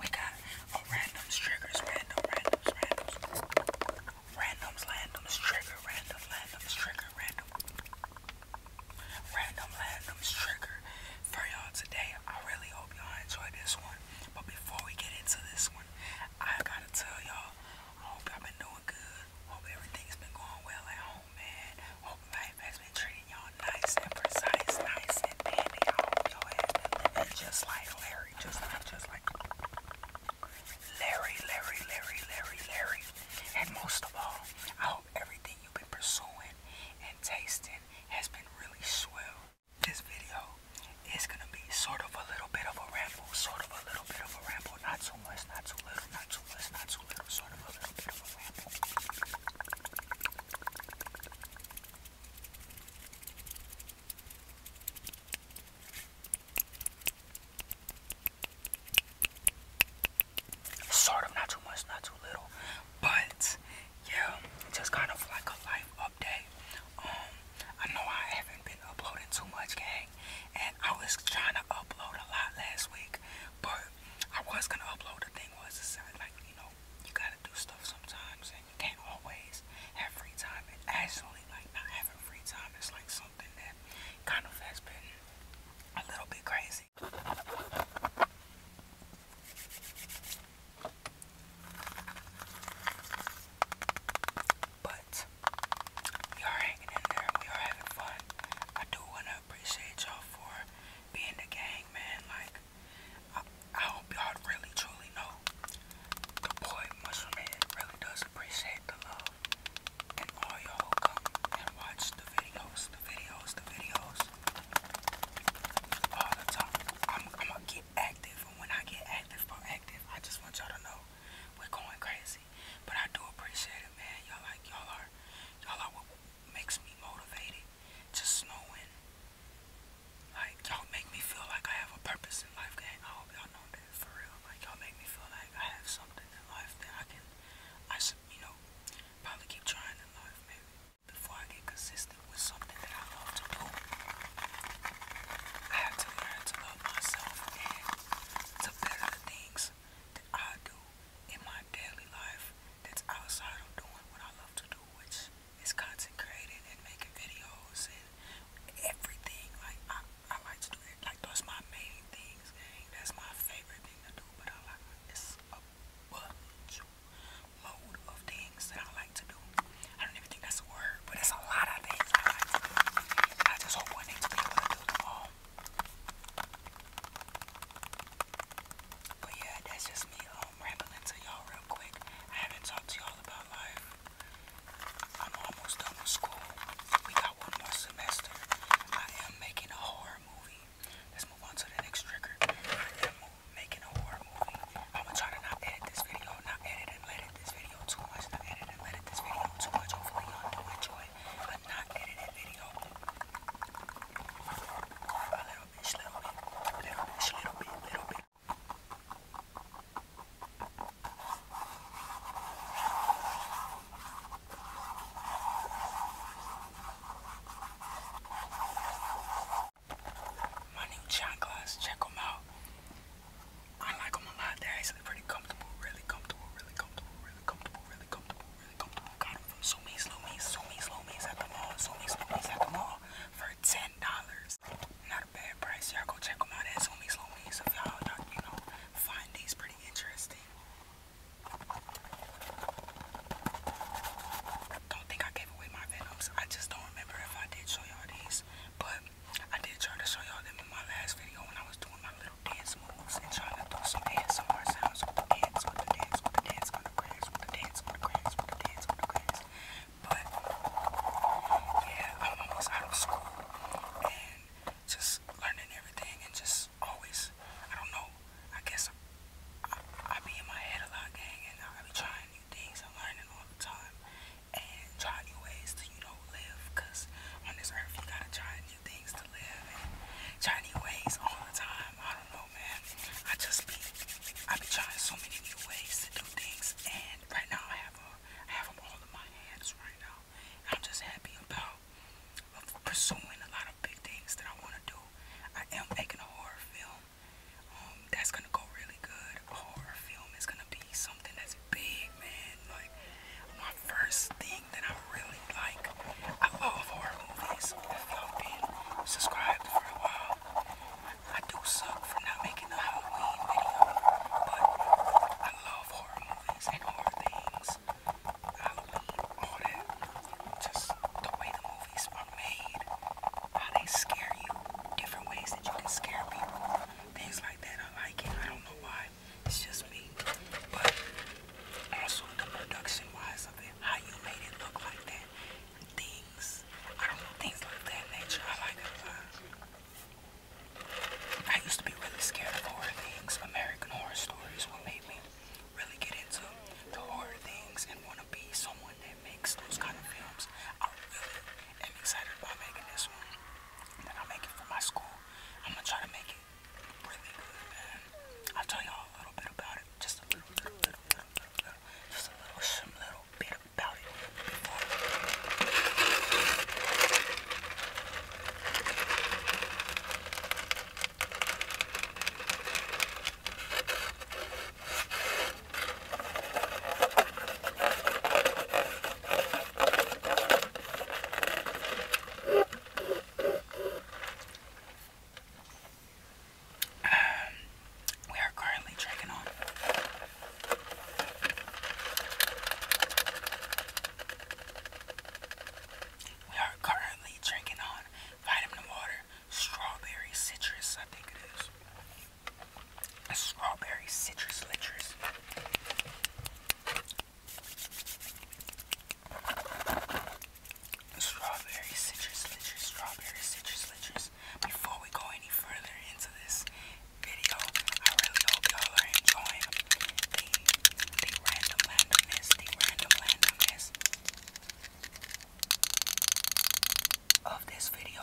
We got randoms triggers, random, randoms, randoms, randoms, randoms trigger, random, randoms trigger, random, randoms trigger for y'all today. I really hope y'all enjoy this one. But before we get into this one, I gotta tell y'all, I hope y'all been doing good. Hope everything's been going well at home, man. Hope life has been treating y'all nice and precise, nice and dandy. I just like Larry, just like, just like Larry, Larry, Larry, Larry, Larry. And most of all, I hope everything you've been pursuing and tasting has been really swell. This video is gonna be sort of a little bit of a ramble, sort of a little bit of a ramble, not too much, not too little, not too much, not too little, sort of a little bit of a ramble. Sort of, not too much, not too little, but yeah, just kind of like a life update. Um, I know I haven't been uploading too much, gang, and I was trying to upload a lot last week, but I was gonna upload. The thing was, it's uh, like you know, you gotta do stuff sometimes and you can't always have free time. And actually, like, not having free time it's like something that kind of has been a little bit crazy. But we are hanging in there. We are having fun. I do want to appreciate y'all for being the gang, man. Like, I, hope y'all really truly know the boy must Head really does appreciate the love and all y'all come and watch the videos, the videos, the videos all the time. I'm, i gonna get active, and when I get active, i active. I just want y'all to know we're going crazy, but I do appreciate it, man. Y'all like y'all are y'all are what makes me motivated just snowing. Like y'all make me feel like I have a purpose in life, gang. I hope y'all know that for real. Like y'all make me feel like I have something in life that I can, I should, you know, probably keep trying in life, maybe. Before I get consistent with something that I love to do, I have to learn to love myself and to better things that I do in my daily life that's outside of doing what I love to do, which is content creating and making videos and everything. Like I, I like to do it. Like those my main things. That's my favorite thing to do. But I like it's a bunch of things that I like to do. I don't even think that's a word, but it's a lot of things I like to do. I just hope one day to be able to do them all but yeah, that's just me um, rambling to y'all real quick. I haven't talked to y'all about life. I'm almost done with school. We got one more semester. I am making a horror movie. Let's move on to the next trigger. I am making a horror movie. I'm gonna try to not edit this video, not edit and let it this video too much, not edit and let this video too much. Hopefully y'all do enjoy but not edited video. A little bit, just little bit, little bit, just little bit, little bit. My new shot glass, check them out. I like them a lot. They're actually pretty comfortable, really comfortable, really comfortable, really comfortable, really comfortable, really Got them from Sumi's Lumi's, Sumi's Lumi's at the mall, Sumi's Lumi's at the mall for ten dollars. Not a bad price. Y'all go check them out at Sumi's Lumi's if y'all you know find these pretty interesting. Don't think I gave away my venoms. I just don't remember if I did show y'all these, but I did try to show y'all them in my last video when I was doing my little dance moves and trying to do some ASMR sounds with the dance, with the dance, with the dance, with the grass, with the dance, with the grass, with the dance, with the grass. But yeah, I'm almost out of school and just learning everything and just always, I don't know, I guess I, I, I be in my head a lot, gang, and I be trying new things and learning all the time and trying new ways to you don't live. on this earth you gotta try new things to live and try new ways all the time. I don't know, man. I just I be trying so many new ways to do things, and right now I have a I have all in my hands right now. I'm just happy about pursuing a lot of big things that I want to do. I am making a horror film. Um, that's gonna go really good. horror film is gonna be something that's big, man. Like my first thing that I really like. I love horror movies. If you been subscribed for a while, I do suck for not making a Halloween video, but I love horror movies and horror things. Halloween, all that. Just the way the movies are made, how they scare you, different ways that you can scare people, things like that. I like it. I don't know why it's just me, but also the production wise of it, how you made it look like that, things, I know, things like that nature, I like it I used to be really scared of horror things, American Horror Stories will make me really get into the horror things and want to be someone that makes those kind of films. I'm really am excited about making this one i am gonna try to make it really good, man. I'll tell y'all a little bit about it. Just a little, little, little, little, just a little, some little bit about it um, we are currently drinking on we are currently drinking on vitamin water, strawberry citrus, I think it is strawberry citrus lichers. Strawberry citrus lichers, strawberry citrus lichers. Before we go any further into this video, I really hope y'all are enjoying the, the random randomness, the random randomness of this video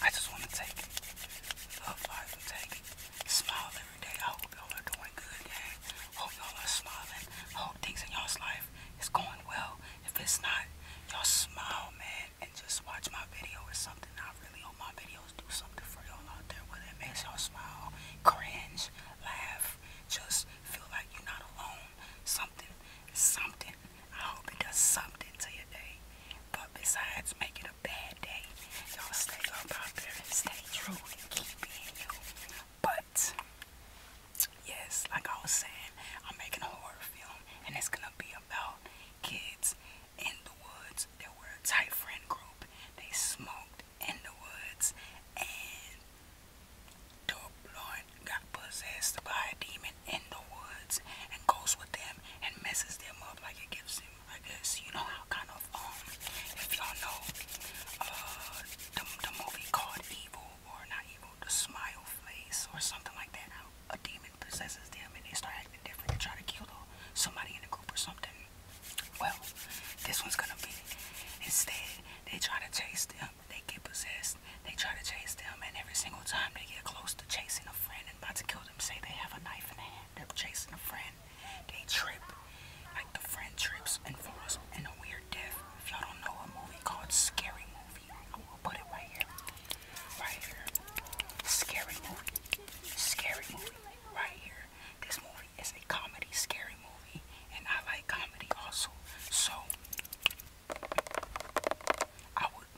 I just want to take a five and take, smile every day. I hope y'all are doing good, gang. Hope y'all are smiling. Hope things in y'all's life is going well. If it's not, y'all smile, man, and just watch my video or something. I really hope my videos do something for y'all out there, whether it makes y'all smile, cringe, laugh, just feel like you're not alone. Something, something. I hope it does something to your day. But besides making bad day, y'all stay up out there and stay true and keep being you. But yes, like I was saying, I'm making a horror film, and it's gonna be about kids in the woods. They were a tight friend group. They smoked in the woods, and the Lord got possessed by a demon in the woods and goes with them and messes them up like it gives them I guess you know how kind of um if y'all know uh the, the movie called Evil or not Evil, the Smile Face or something like that. How a demon possesses them and they start acting different and try to kill uh, somebody in the group or something. Well, this one's gonna be instead they try to chase them, they get possessed, they try to chase them, and every single time they get close to chasing a friend and about to kill them, say they have a knife in their hand, they're chasing a friend. They trip. Like the friend trips and falls in a weird death. If y'all don't know a movie called Scary Movie, I will put it right here. Right here. Scary Movie. Scary Movie. Right here. This movie is a comedy scary movie. And I like comedy also. So I would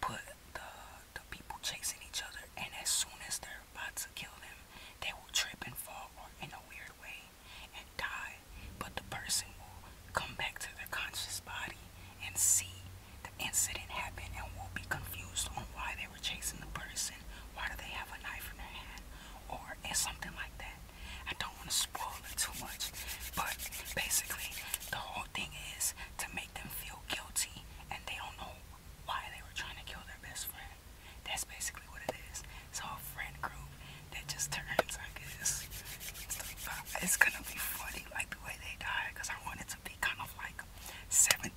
put the the people chasing each other, and as soon as they're about to kill them, they will trip and fall or in a weird way and die. But the person will come back to their conscious body and see the incident happen and will be confused on why they were chasing the person. Why do they have a knife in their hand? Or it's something like that. I don't want to spoil it too much, but basically, the whole thing is to make them feel guilty and they don't know why they were trying to kill their best friend. That's basically what it is. So a friend group that just turns, I guess. It's, gonna be funny, like the way they die, because I wanted to be kind of like 76,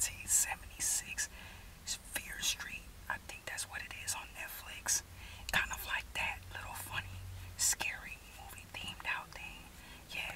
Fear Street. I think that's what it is on Netflix. Kind of like that little funny, scary movie themed out thing. Yeah,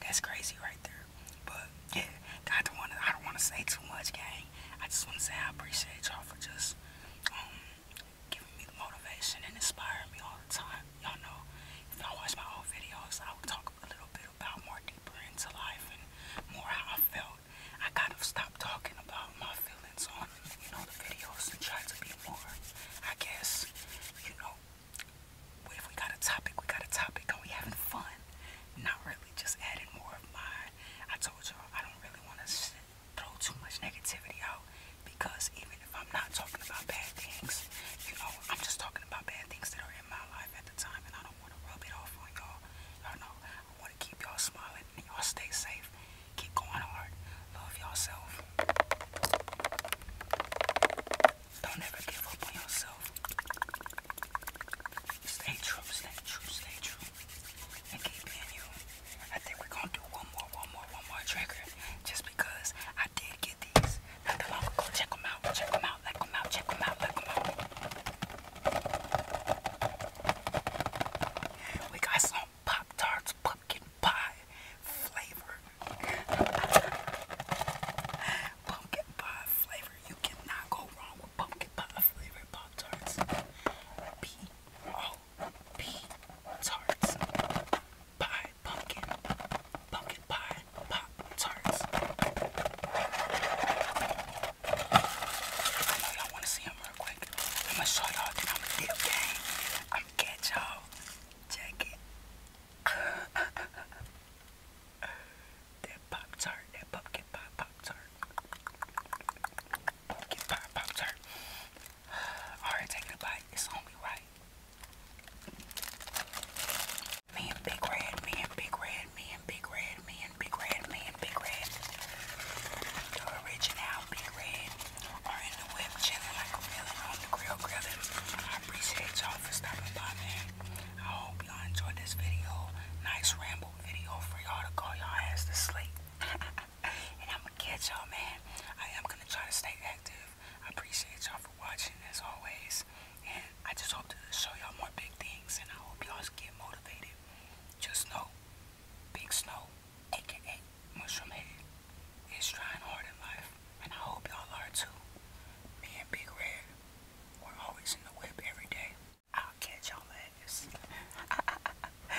that's crazy right there. But yeah, I don't wanna I don't wanna say too much, gang. I just wanna say I appreciate y'all for just um giving me the motivation and inspiring me all the time. Y'all know if y'all watch my old videos I would talk a little bit about more deeper into life and more how I felt. I gotta stop talking about my feelings on you know, the videos and try to be more, I guess, you know, if we got a topic, we got a topic Are we having fun. Not really just adding more of mine. I told y'all I don't really want to throw too much negativity out because even if I'm not talking about bad things, you know, I'm just talking about bad things that are in my life at the time and I don't want to rub it off on y'all. Y'all know I want to keep y'all smiling and y'all stay safe. Keep going hard. Love yourself. Don't ever give up on yourself. Stay true, stay true, stay true. And keep being you. I think we're gonna do one more, one more, one more trigger. Just because I did get these. Check them out. Check them out. Like them out. Check them out. Like them out. We got some Pop Tarts pumpkin pie flavor. pumpkin pie flavor. You cannot go wrong with pumpkin pie flavor Pop Tarts. P O P Tarts. Pie, pumpkin, pumpkin pie, Pop Tarts. I know y'all want to see him real quick. I'm going to show y'all that I'm a deep gang. I'm going to catch y'all. Check it. that Pop Tart. That Pumpkin Pop Pop Tart. Pumpkin Pop Pop Tart. Alright, taking a bite. It's only right. Me and Big Red, me and Big Red, me and Big Red, me Big Red, me Big Red, the original Big Red, are in the whip chilling like a villain on the grill grilling. I appreciate y'all for stopping by, man. I hope y'all enjoyed this video. Nice ramble video for y'all to call y'all ass to sleep. and I'm gonna catch y'all, man. I am gonna try to stay active. I appreciate y'all for watching as always. And I just hope to show y'all more big things and I hope y'all get motivated. Just know, Big Snow, aka Mushroom is trying hard in life, and I hope y'all are too. Me and Big Red, we're always in the whip every day. I'll catch y'all last.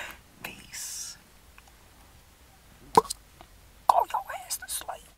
Peace. Go your ass to sleep.